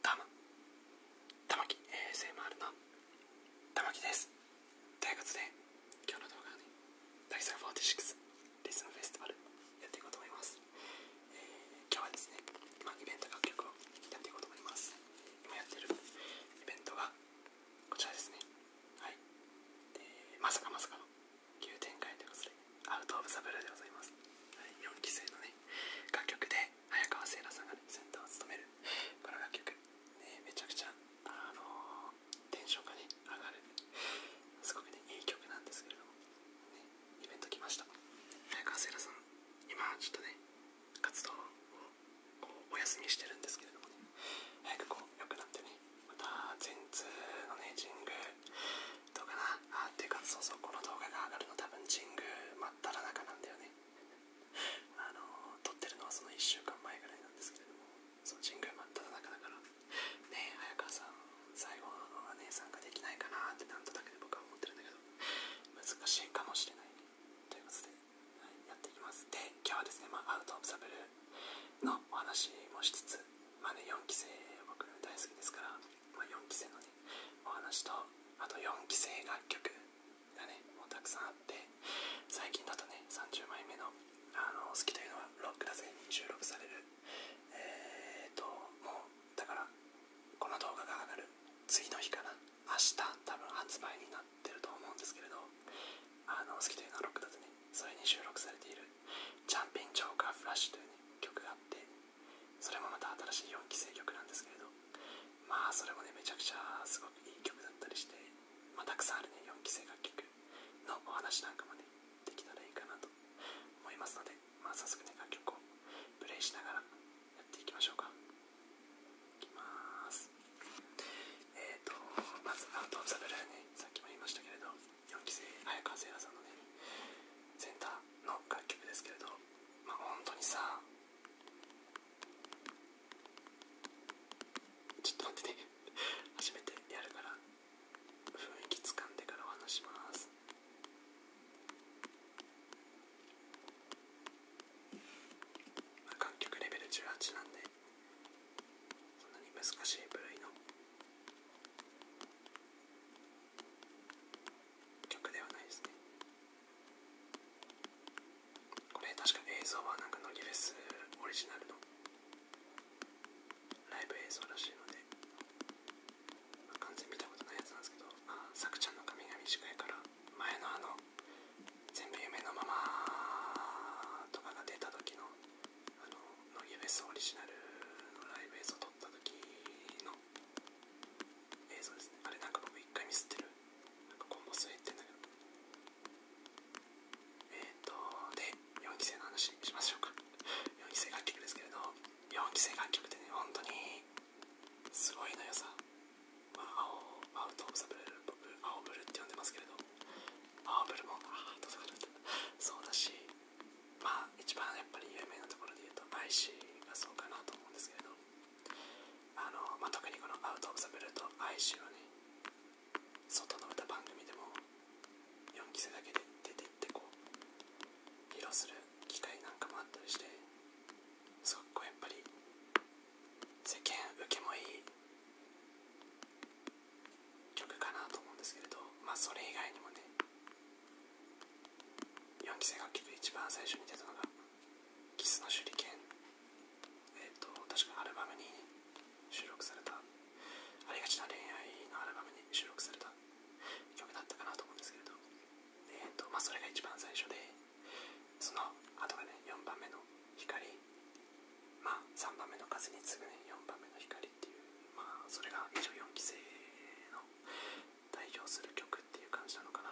ダム玉木 ASMR のまきですということで今日の動画はね第46リズムフェスティバルやっていこうと思います、えー、今日はですね今イベント楽曲をやっていこうと思います今やってるイベントがこちらですねはいえ、まさかまさかの急展開ということでアウト・オブ・ザ・ブルでございます、はい、4期生のね楽曲で早川聖奈さんが、センターを務めるこの楽曲、ね、めちゃくちゃあのテンションがね上がるすごくねいい曲なんですけれども、イベント来ました早川聖奈さん今ちょっとね活動をお休みしてるんですけれどもね早くこう良くなってねまた全通のね神宮どうかなあっていうかそうそうこの動画が上がるの多分神宮真っただ中なんだよねあの撮ってるのはその1週間前ぐらいなんですけれどもその神宮真っただ中だからねえ早川さん最後の姉さんができないかなってなんとだけで僕は思ってるんだけど難しいかもしれないということで、はい、やっていきますで今日はですね、まあ、アウト・オブ・ザ・ブルのお話もしつつまあね4期生僕大好きですからま4期生のねお話とあと4期生楽曲がねもうたくさんあって最近だとね30枚目の「あの好きというのはロックだぜ」に収録されるえっともうだからこの動画が上がる次の日から明日多分発売になってると思うんですけれどあの好きというのはロックだぜそれに収録されている「ジャンピン・ジョーカー・フラッシュ」という、ね、曲があってそれもまた新しい4期生曲なんですけれどまあそれもねめちゃくちゃすごくいい曲だったりして、またくさんあるね4期生楽曲のお話なんかもねできたらいいかなと思いますので、ま早速ね楽曲をプレイしながらやっていきましょうかいきますえっ、ー、とまず「アウト・オブ・ザ・ブルーねさっきも言いましたけれど4期生早川聖羅さんのねセンターの楽曲ですけれどまあ本当にさちょっと待ってね初めてやるから雰囲気つかんでからお話します楽曲レベル18なんでそんなに難しい部類の曲ではないですねこれ確か映像はなんか乃木フェスオリジナルのライブ映像らしいので、完全見たことないやつなんですけどあさくちゃんの髪が短いから前のあの全部夢のままとかが出た時のあの乃木フェスオリジナルのライブ映像を撮った時の映像ですねあれなんか僕一回ミスってるなんか今後末ってんだけどえっ、とで4期生の話しましょうか4期生楽曲ですけれど4期生楽曲ってね本当にすごいのよさ、まあ、青青とサブル僕青ブルって呼んでますけれど青ブルもああとかだったそうだしまあ一番やっぱり有名なところで言うとバイシーがそうかなと思うんですけれどあの、ま特にこの「アウト・オブ・ザ・ブルー」と「バイシー」はね外の歌番組でも4期生だけで出てってこう披露する機会なんかもあったりしてすごくこやっぱり世間受けもいい曲かなと思うんですけれどまそれ以外にもね4期生楽曲一番最初に出たのが「キスの手裏剣」えっ、と確かアルバムに収録されたありがちな恋愛のアルバムに収録された曲だったかなと思うんですけれどえっ、とまそれが一番最初でその後がね4番目の光ま3番目の風に次ぐね4番目の光まあ、それが24期生の代表する曲っていう感じなのかな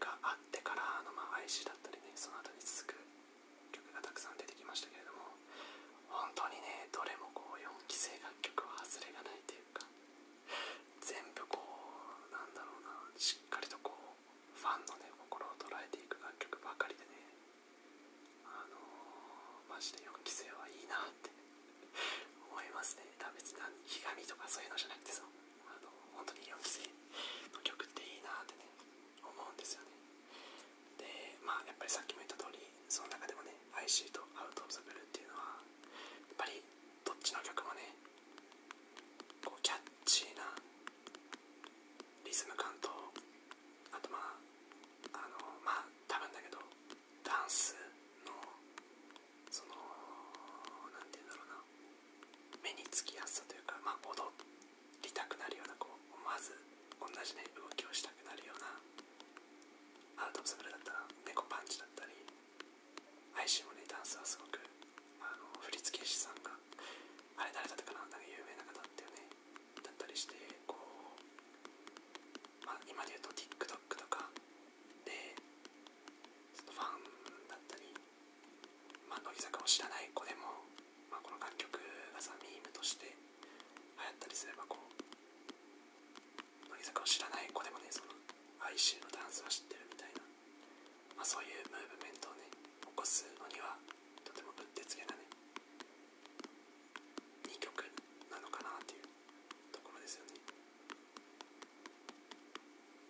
があってからの、まあ、IC だったりねその後に続く曲がたくさん出てきましたけれども本当にねどれもこう4期生楽曲は外れがないというか全部こうなんだろうなしっかりとこうファンのね心を捉えていく楽曲ばかりでねあのマジで4期生はいいなって 思いますねだ別にひがみとかそういうのじゃなくてさあの本当に4期生の曲っていいなってね思うんですよねでまあやっぱりさっきも言った通りその中でもね IC とアウト・オブ・ザ・ブルーっていうのはやっぱりどっちの曲もねこうキャッチーなリズム感とあとまああのま多分だけどダンスのその何て言うんだろうな目につきやすさというかま踊りたくなるようなこう思わず同じね動きをしたくなるようなアウト・オブ・ザ・ブルだったら猫パンチだったり配信もねダンスはすごくあの振付師さんがあれ誰だったかななんか有名な方だったよねだったりしてこう、ま今で言うと TikTok とかでそのファンだったり、ま乃木坂を知らない子でも、まこの楽曲がさミームとして流行ったりすればこう乃木坂を知らない子でもねその哀愁のダンスは知ってるみたいな、まそういうムーブメントをね起こすのにはとてもうってつけなねいい曲なのかなっていうところですよね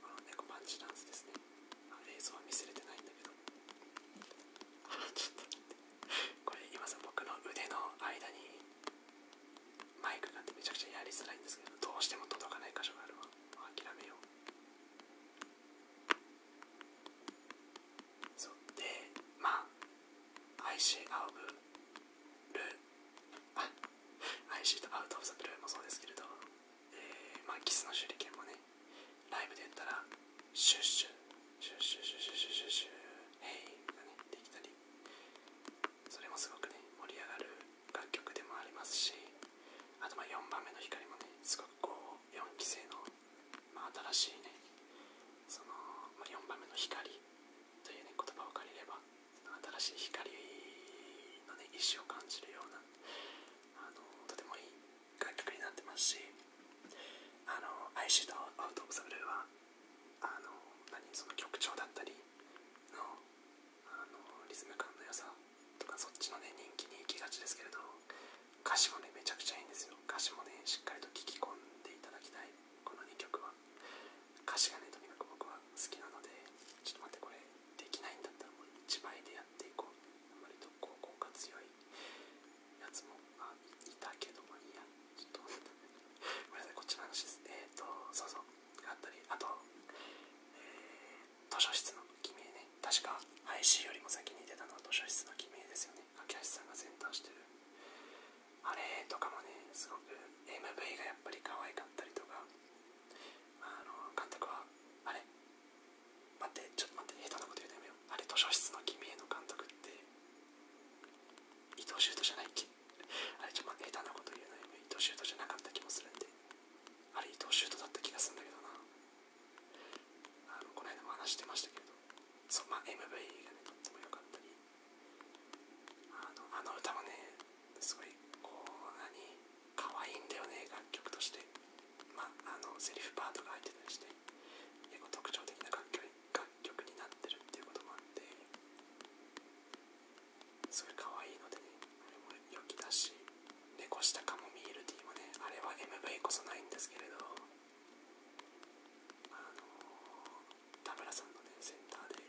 この猫パンチダンスですね映像は見せれてないんだけど ちょっと待ってこれ今さ僕の腕の間にマイクがあてめちゃくちゃやりづらいんですけどどうしても届かない箇所があるわ諦めようでまあ IC アウブルあ IC とアウト・オブ・ザ・ブルーもそうですけれど、えまキスの手裏剣もねライブでやったらシュッシュシュッシュッシュッシュシュッシュシュヘイがねできたりそれもすごくね盛り上がる楽曲でもありますしあとま4番目の光もねすごくこう4期生の新しいねその、4番目の光という、言葉を借りれば新しい光の、意志を感じるようなとてもいい楽曲になってますしあの「アイシード・アウト・オブ・ザ・ブルーは」は曲調だったりのリズム感のよさそっちのね人気に行きがちですけれど歌詞もねめちゃくちゃいいんですよ歌詞もねしっかりと聴き込んでいただきたいこの2曲は歌詞がねとにかく僕は好きなのでちょっと待ってこれできないんだったらもう1枚でやっていこうあまりとこう効果強いやつもあいたけどもいやちょっとごめんなさいこっちの話ですえっ、とそうそうがあったりあとえー図書室の君名ね確か IC よりも先に出たのは図書室の君名ですよね秋橋さんがセンしてるあれとかもねすごく MV がやっぱり可愛かったりとかあの監督はあれ待ってちょっと待って下手なこと言うのやめようあれ図書室の君への監督って伊藤シュートじゃないっけあれちょっと待って下手なこと言うのやめよう伊藤修斗じゃなかった気もするんであれ伊藤シュートだった気がするんだけどなあのこの間も話してましたけど、そま MV がね、とっても良かったりあの、あの歌もね、すごい、こう、何、可愛いんだよね、楽曲として。まあ、あの、セリフパートが入ってたりして、結構特徴的な楽曲楽曲になってるっていうこともあって、すごい可愛いのでね、これもきだし猫下カモミールティーもねあれは MV こそないんですけれどあの田村さんのねセンターで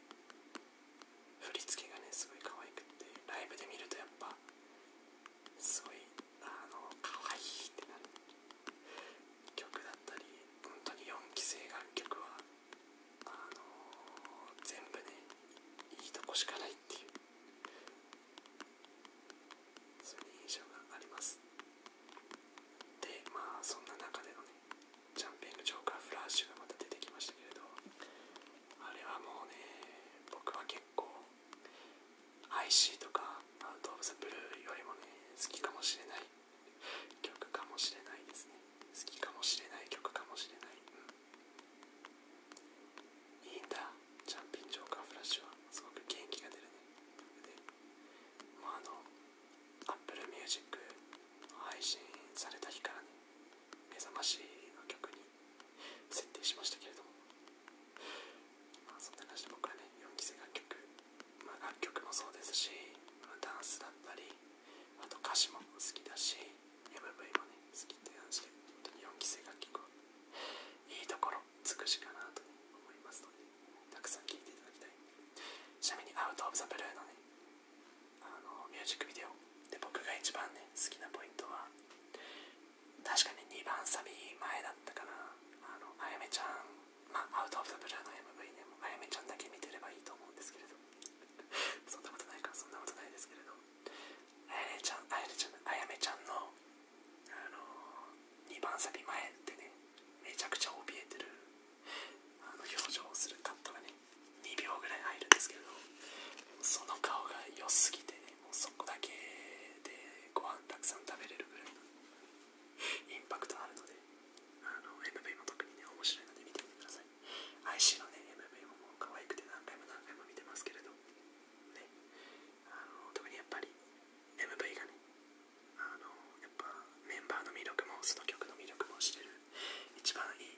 振り付けがねすごい可愛くてライブで見るとやっぱすごいあの可愛いってなる曲だったり本当に4期生楽曲はあの全部ねいいとこしかないっていうそれ印象がありますでまあそんな中でのねジャンピングジョーカーフラッシュがまた出てきましたけれどあれはもうね僕は結構 IC とかアウト・オブ・ザ・ブルーよりもね好きかもしれない曲かもしれないですね好きかもしれない曲かもしれない、いいんだチャンピンジョーカーフラッシュはすごく元気が出るねであの Apple Music 配信された日からね目覚ましの曲に設定しましたけれどもそんな話で僕はね4期生楽曲、ま楽曲もそうですしダンスだったりあと歌詞も好きだし MV もね好きって話で本当に4期生が結構いいところ尽くしかなと、思いますのでたくさん聴いていただきたいちなみに「アウト・オブ・ザ・ブルー」のねあのミュージックビデオで僕が一番ね好きなポイントは確かに2番サビ前だったかなあのあやめちゃんまあアウト・オブ・ザ・ブルーの MV ねあやめちゃんだけ見てればいいと思うんですけれど そんなことないかそんなことないですけれどあやゃん、あやねちゃん、あやめちゃんの、あの2番先前ってね、めちゃくちゃ怯えてる、あの表情をするカットがね、2秒ぐらい入るんですけれど、その顔が良すぎてもうそこだけでご飯たくさん食べれるぐらいのインパクトあるので、あの MV も特にね、面白いので見てみてください。IC のね MV ももう可愛くて何回も何回も見てますけれど、あの特にやっぱり MV がねあのやっぱメンバーの魅力もその曲の魅力も知れる一番いい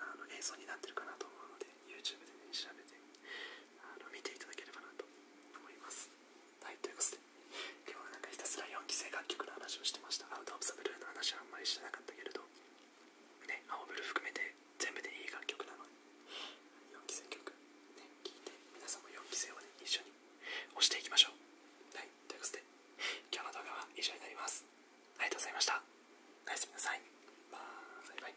あの映像になってるかなと思うので YouTube でね調べてあの見ていただければなと思います。はいということで今日はなんかひたすら4期生楽曲の話をしてましたアウト・オブ・ザ・ブルーの話はあんまりしてなかったけれどね青ブル含めて全部でいい楽曲なので4期生曲ね聴いて皆さんも4期生をね一緒に押していきましょうはいということで今日の動画は以上になりますありがとうございましたおやすみなさいバイバイ